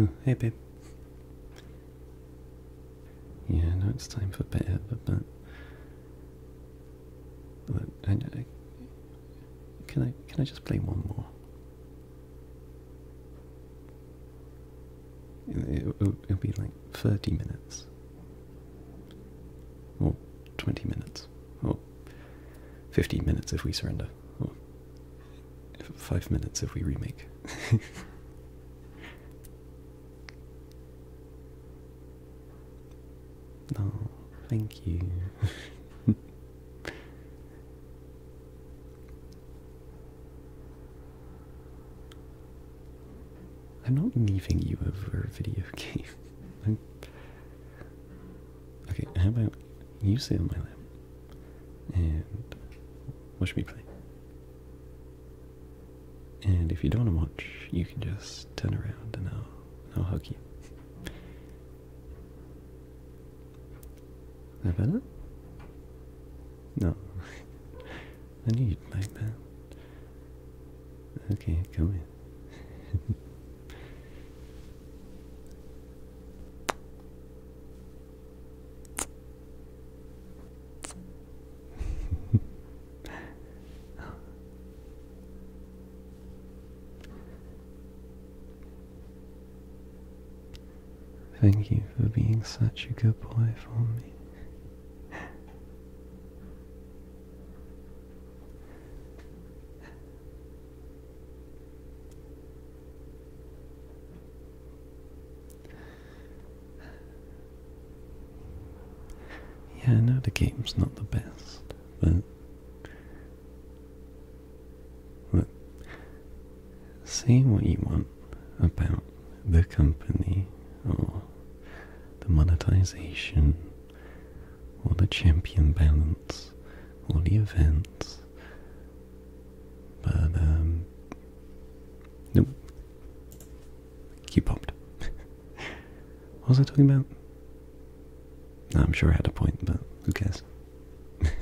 Oh, hey babe. Yeah, I know it's time for bed, but, but, can I can I just play one more? It'll, be like 30 minutes or 20 minutes or 15 minutes if we surrender or 5 minutes if we remake. oh, thank you. I'm not leaving you over a video game. Okay, how about you sit on my lap? And watch me play. And if you don't want to watch, you can just turn around and I'll, I'll hug you. Is that better? No. I need you'd like that. Okay, come in. Thank you for being such a good boy for me. Yeah, I know the game's not the best, but look, what you want about the company or the monetization or the champion balance or the events. But, um, nope. He popped. what was I talking about? I'm sure I had a point, but who cares?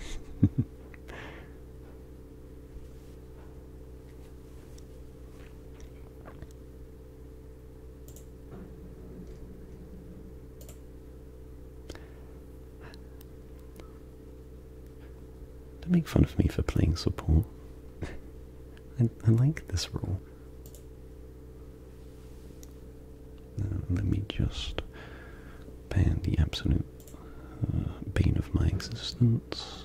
Don't make fun of me for playing support. I, I like this role. let me just ban the absolute uh, of my existence.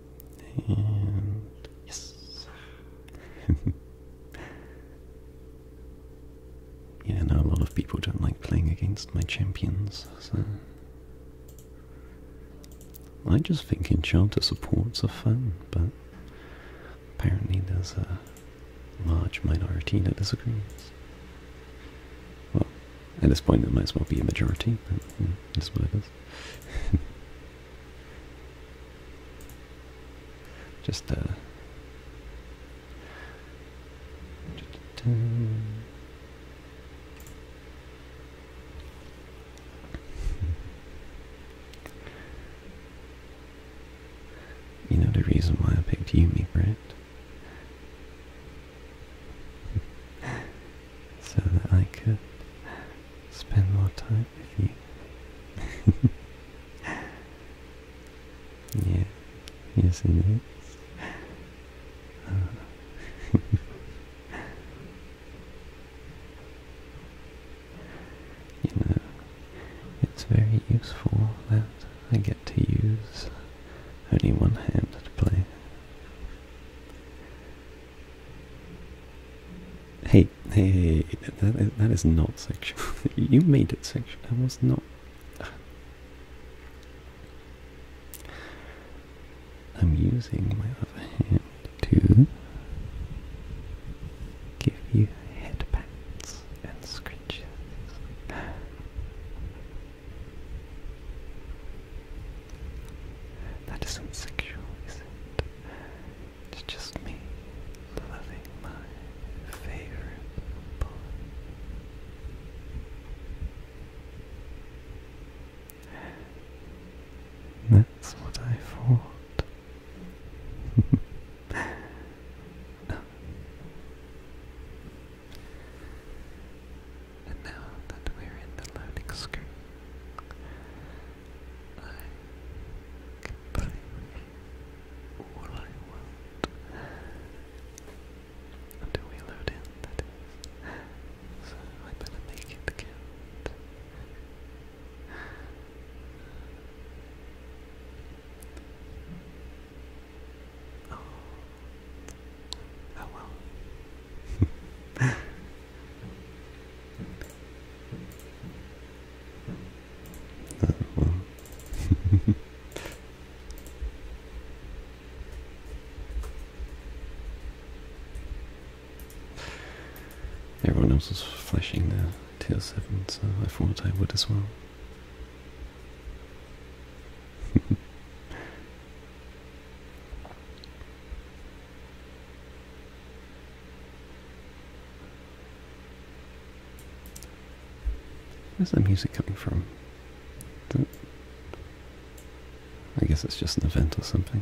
And yes. yeah, I a lot of people don't like playing against my champions, so I just think enchanter supports are fun, but apparently there's a large minority that disagrees. Well, at this point it might as well be a majority, That's mm, what it is. Just, uh, you know the reason why I picked you, Yumi, right? so that I could spend more time yeah, yes it is. you know, it's very useful that I get to use only one hand to play. Hey, hey, hey, that is, that is not sexual. you made it sexual. I was not. I'm using my other hand to give you head pats and scratches. That isn't sexual, is it? It's just me loving my favorite boy. That's what I thought. no. And now that we're in the loading screen, I can play you all I want. Until we load in, So I better make it count. Oh, oh well well. Everyone else is flashing their tier 7, so I thought I would as well. Where's that music coming from? I guess it's just an event or something.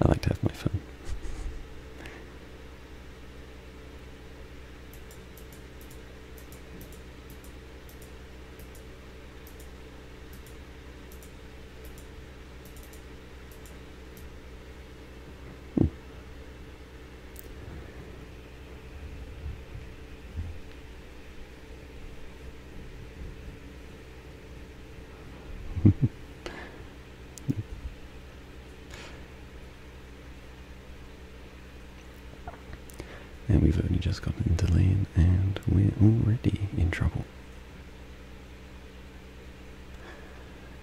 I like to have my fun. And we've only just gotten into lane and we're already in trouble.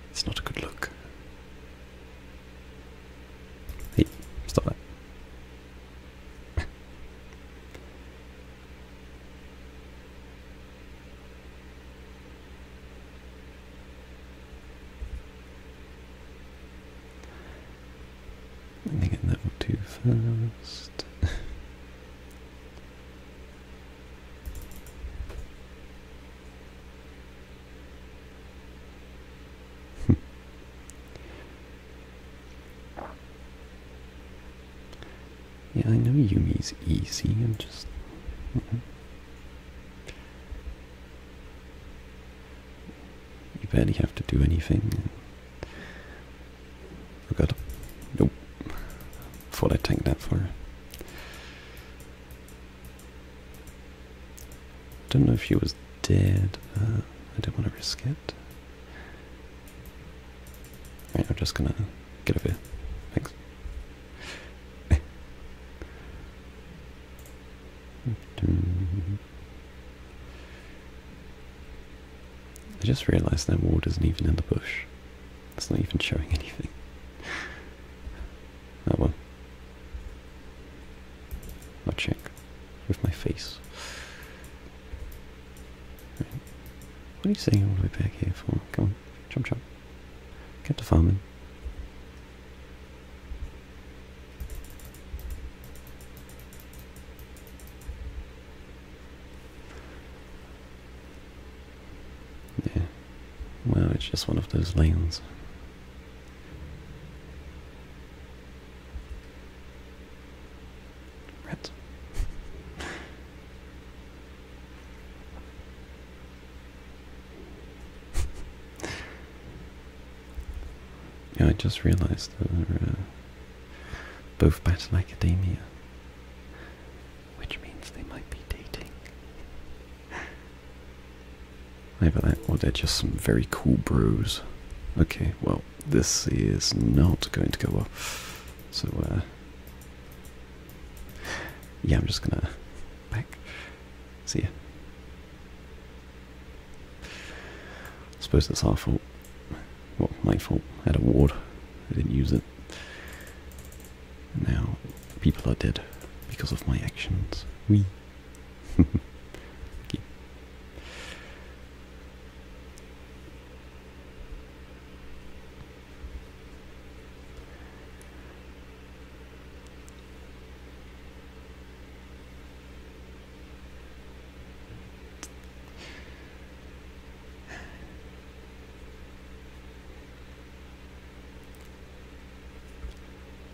It's not a good look. Hey, stop that. Let me get that one too fast. Yeah, I know Yumi's easy. I'm just. You barely have to do anything. Oh god. Nope. Thought I tanked that far. Don't know if she was dead. Uh, I do not want to risk it. Right, I'm just gonna Get over here. Thanks. I just realised that ward isn't even in the bush. It's not even showing anything. Oh well. I'll check with my face. What are you saying? all the way back here for? Come on, jump, jump. Get to farming. Yeah. Well, it's just one of those lanes. Rat. I just realized they're uh, both both Battle Academia, which means they might be dating. Either that or they're just some very cool bros. Okay, well, this is not going to go well. So, uh, yeah, I'm just gonna back. See you. I suppose it's our fault. Well, my fault. I had a ward. I didn't use it. Now, people are dead because of my actions. We. okay.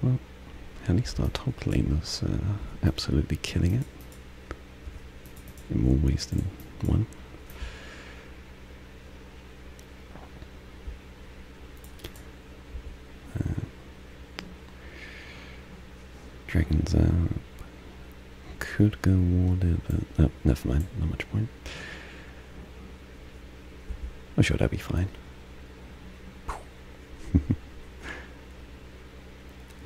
Well, at Star our top uh, absolutely killing it in more ways than one. Uh, dragon's uh, Could go water, but oh, never mind. Not much point. I'm sure that'd be fine. you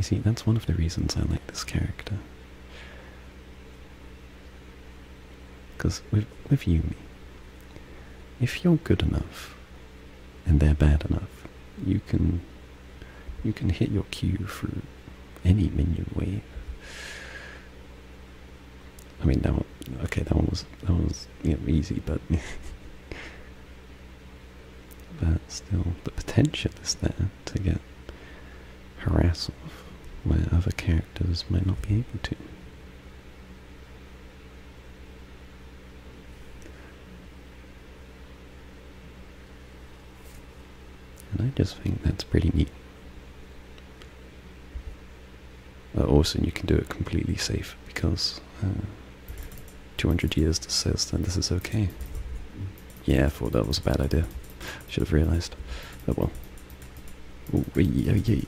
see, that's one of the reasons I like this character. Because with, with me. if you're good enough and they're bad enough, you can you can hit your cue through any minion wave. I mean that one, okay that was that was you know, easy but but still the potential is there to get harass off where other characters might not be able to. And I just think that's pretty neat. also you can do it completely safe because uh, 200 years says that this is okay. Yeah, I thought that was a bad idea. Should have realised. Oh well. Ooh, wee, oh, yeah.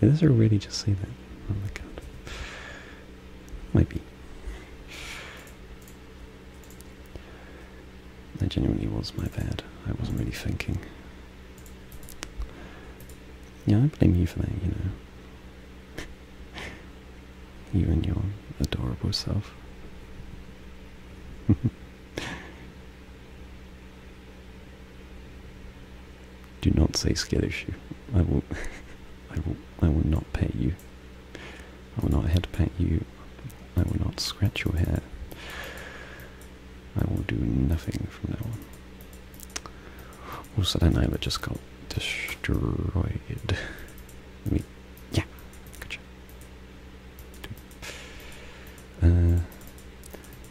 Did this already just say that? Oh my god. Maybe. be. That genuinely was my bad. I wasn't really thinking. Yeah, I blame you for that, you know. You and your adorable self. Do not say Skittershoe. I will I will I will not pet you. I will not head pat you. I will not scratch your hair. I will do nothing from now on. Also, that would just go destroyed. I yeah, gotcha. Uh,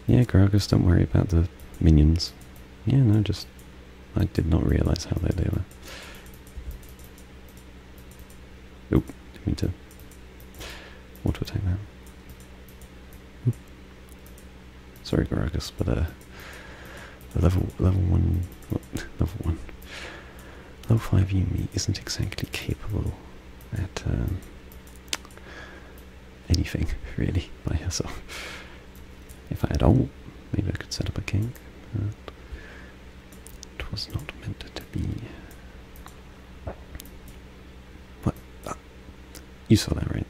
yeah, Gragas, don't worry about the minions. Yeah, no, just I did not realize how they were. Oh, didn't mean to auto attack that. Sorry, Gragas, but uh, level level one level one level five Yumi isn't exactly capable at um, anything really by herself. If I had all, maybe I could set up a king. it was not meant to be. What? Ah, you saw that, right?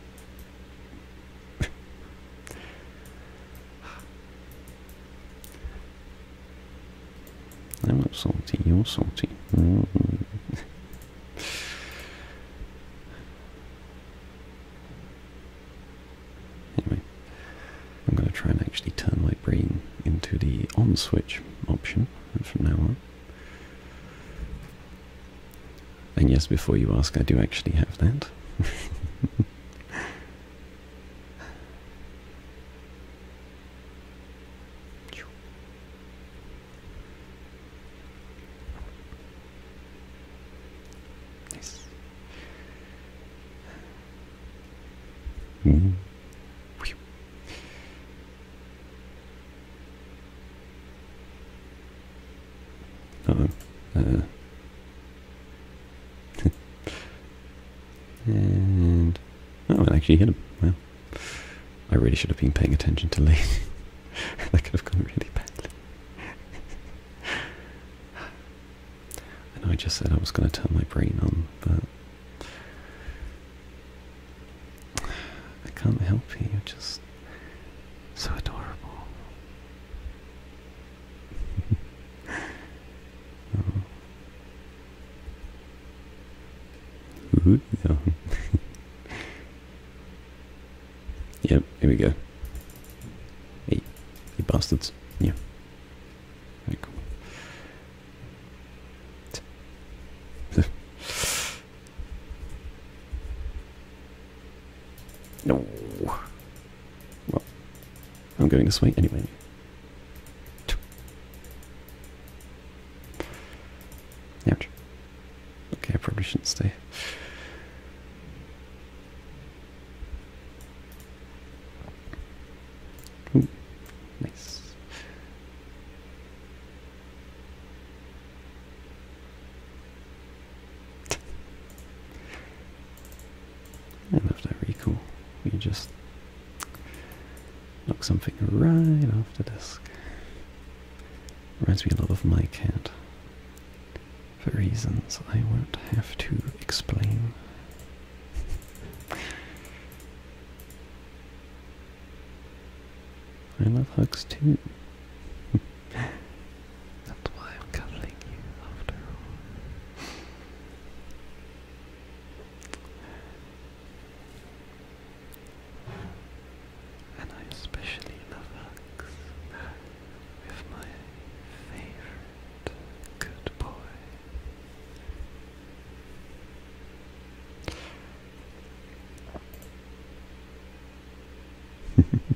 I'm not salty, you're salty. Mm. anyway, I'm going to try and actually turn my brain into the on switch option from now on. And yes, before you ask, I do actually have that. nice. Mm. Uh and oh, it actually hit him. Well, I really should have been paying attention to Lee. that could have gone really badly. And I just said I was going to turn my brain on, but I can't help you. You're just so adorable. oh. Ooh, no. yep, here we go. Hey, you bastards. Yeah. No. Well, I'm going this way anyway. Ouch. Okay, I probably shouldn't stay. nice and after recall, we just knock something right off the disk. Reminds me a lot of my cat, for reasons I won't have to explain. I love hugs too. That's why I'm cussing you after all. And I especially love hugs with my favorite good boy.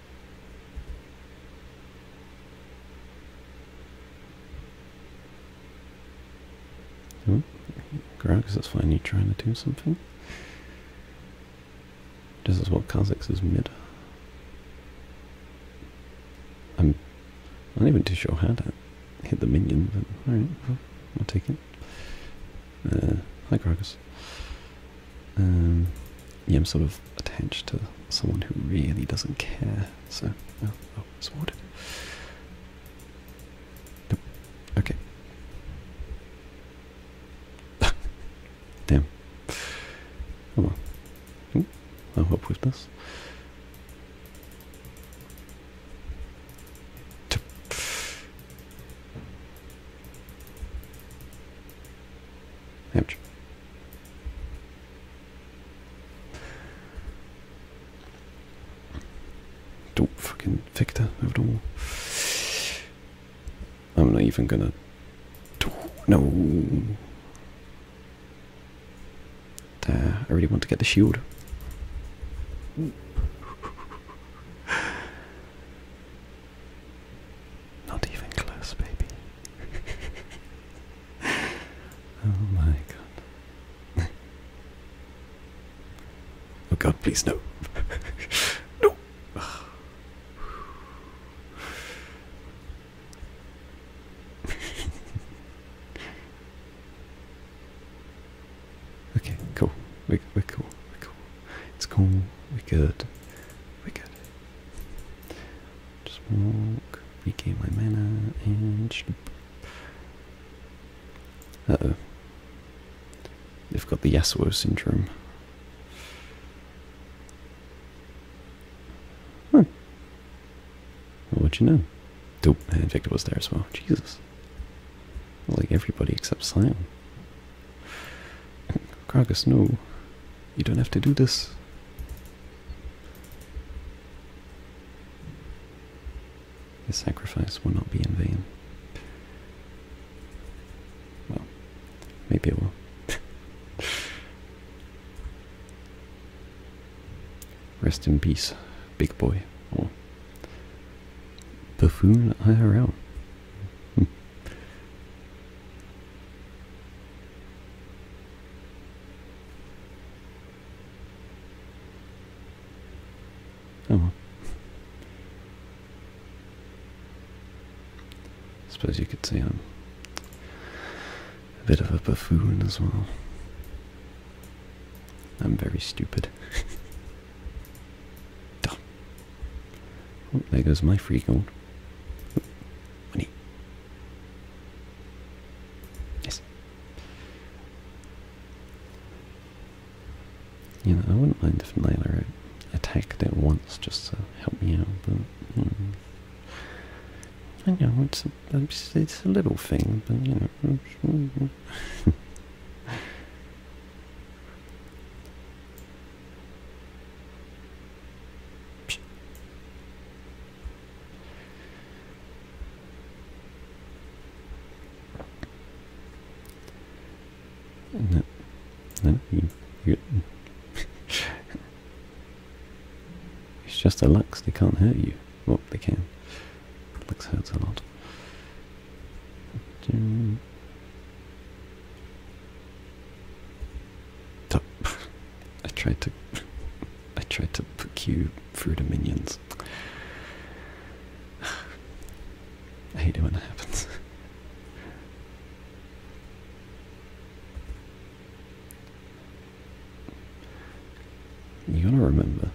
Hmm? Oh, Grog, is fine? You trying to do something? This is what Kha'Zix is mid. I'm not even too sure how to hit the minion, but alright, I'll take it. Uh, hi Gragas. Um, yeah, I'm sort of attached to someone who really doesn't care. So, oh, oh it's watered. Nope. Okay. Damn. Oh well. Ooh, I'll help with this. Don't fucking Victor at all. I'm not even gonna. No. Uh, I really want to get the shield. Not even close, baby. oh my god. oh god, please no. no! okay, cool. we we cool. It's cool. We're good. We're good. Just walk, regain my mana, and. oh. They've got the Yasuo syndrome. Huh. what'd you know? Dope, and Victor was there as well. Jesus. Like everybody except Sion. Kragus, no. You don't have to do this. The sacrifice will not be in vain. Well, maybe it will. Rest in peace, big boy. Or oh. buffoon IRL. Hmm. Oh. Suppose you could say I'm um, a bit of a buffoon as well. I'm very stupid. Dumb. Oh, there goes my free gold. Oh, money. Yes. You know, I wouldn't mind if Naylor uh, attacked it once just to help me out, hmm. I know, it's a, it's, it's a little thing, but you know... No. No, It's just a Lux, they can't hurt you. Well, they can. Lux hurts a lot. I tried to. I tried to put you through the minions. I hate it when that happens. You gotta remember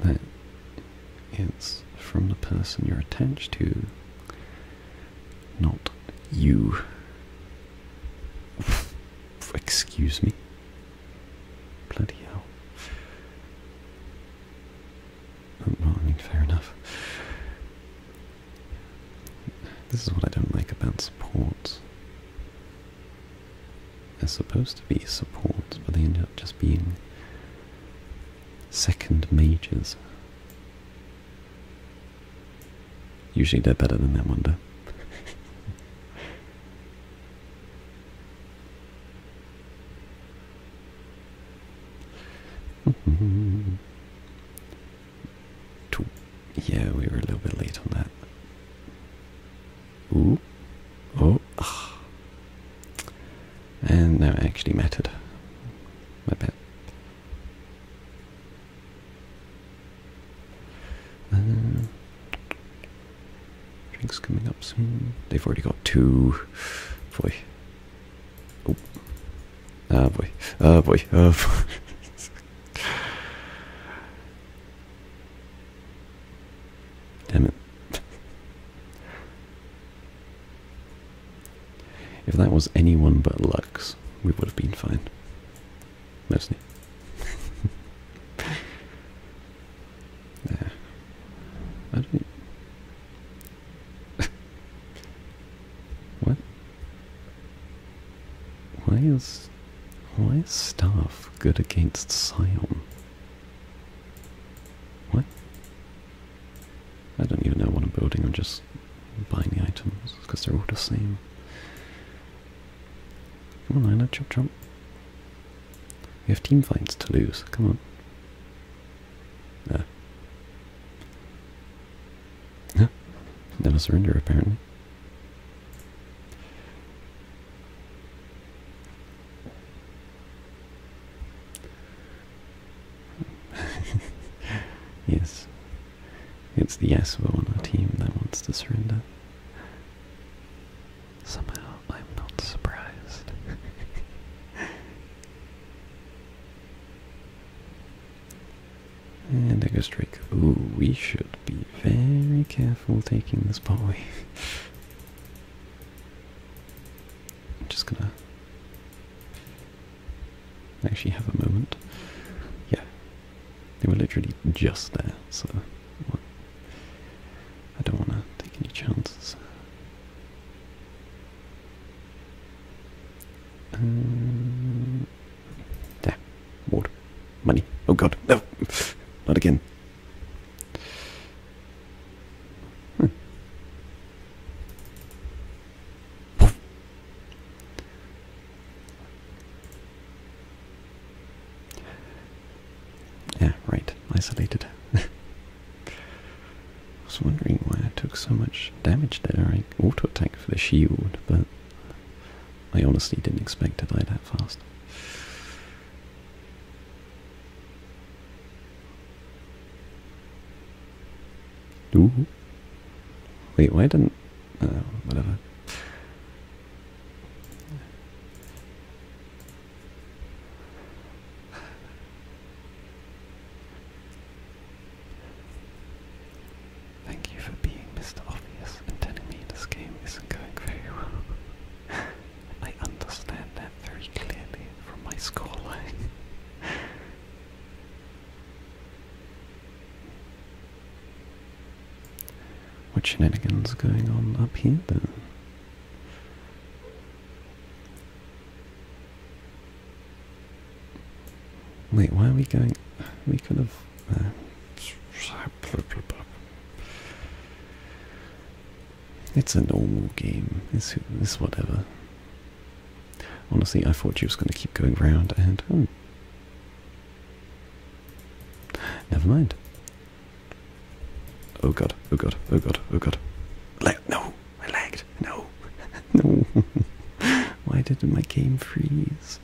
that it's from the person you're attached to not you. Excuse me. Bloody hell. Oh, well, I mean, fair enough. This is what I don't like about supports. They're supposed to be supports, but they end up just being second majors. Usually they're better than that one, though. yeah, we were a little bit late on that. Ooh. Oh. And now it actually mattered. My bad. Uh, drinks coming up soon. They've already got two. Boy. Oh. Ah, boy. Ah, boy. Ah, boy. Damn it. If that was anyone but Lux, we would have been fine. Mostly. yeah. I don't. what? Why is why is staff good against Scion? What? I don't even know what I'm building, I'm just buying the items, because they're all the same. Come on, Lina, chop chop. We have team fights to lose, come on. Nah. Huh? Never surrender, apparently. yes. It's the Yasuo on our team that wants to surrender. Somehow I'm not surprised. and I go straight. Ooh, we should be very careful taking this boy. just gonna actually have a moment. Yeah, they were literally just there, so I don't want to take any chances. Uh, there, ward, money. Oh god, no, not again. Hmm. Yeah, right. Isolated. I was wondering why I took so much damage there. I auto attack for the shield, but I honestly didn't expect to die that fast. Ooh. Wait, why didn't... Uh, whatever. Thank you for being Mr. Obvious and telling me this game isn't going very well. I understand that very clearly from my scoreline. What shenanigans going on up here then? Wait, why are we going? We could have. Uh, it's a normal game. It's, it's whatever. Honestly, I thought you was going to keep going round and... Oh. Never mind. Oh god, oh god, oh god, oh god. La no, I lagged. No, no. Why did my game freeze?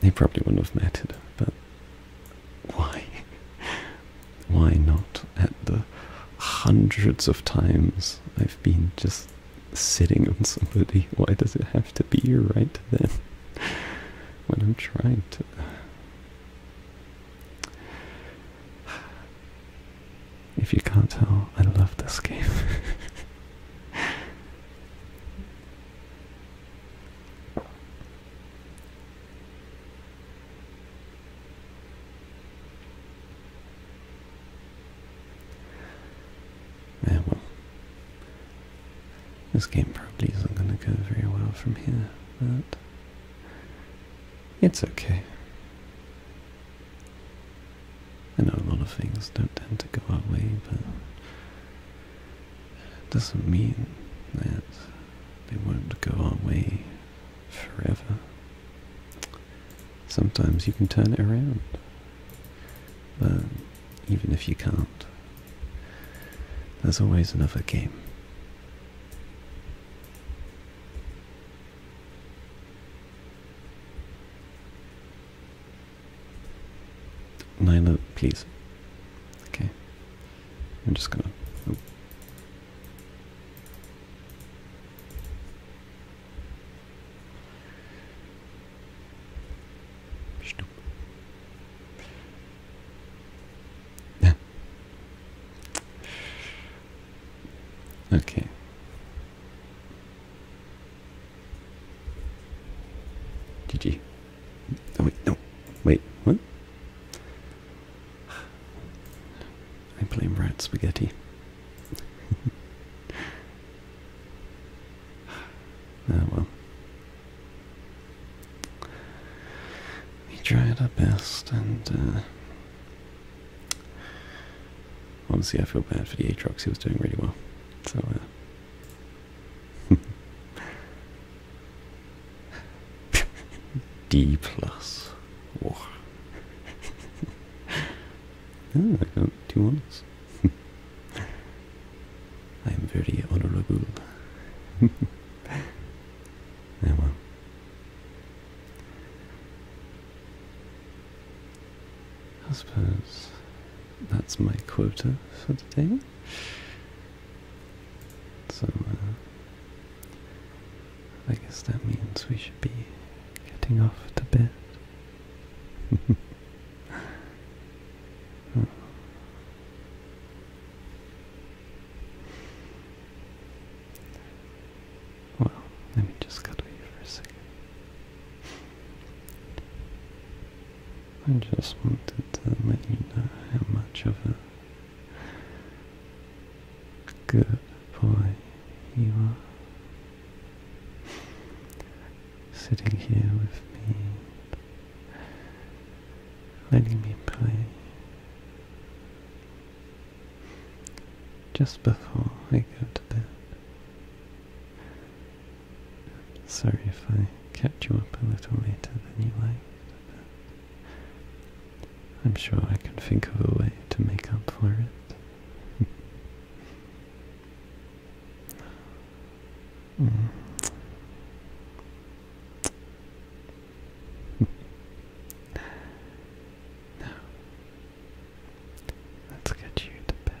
They probably wouldn't have mattered, but why? why not at the hundreds of times I've been just sitting on somebody? Why does it have to be right then when I'm trying to? If you can't tell, I love this game. well, this game probably isn't going to go very well from here, but it's okay. I know a lot of things don't tend to go our way, but it doesn't mean that they won't go our way forever. Sometimes you can turn it around, but even if you can't. There's always another game. Nyla, please. Okay. I'm just gonna. Oh okay. GG. wait, no. Wait, what? I blame rat spaghetti. Oh, well. We tried our best, and uh, honestly, I feel bad for the Aatrox. He was doing really well. So, uh, D plus. Ah, I two ones. I am very honorable. Ah, well. I suppose that's my quota for the day. So, uh, I guess that means we should be getting off to bed. Well, let me just cuddle you for a second. I just wanted to let you know how much of a Goodbye, you are sitting here with me, letting me play. Just before I go to bed. Sorry if I kept you up a little later than you liked, I'm sure I can think of a way to make up for it. Mm. Now, let's get you to bed.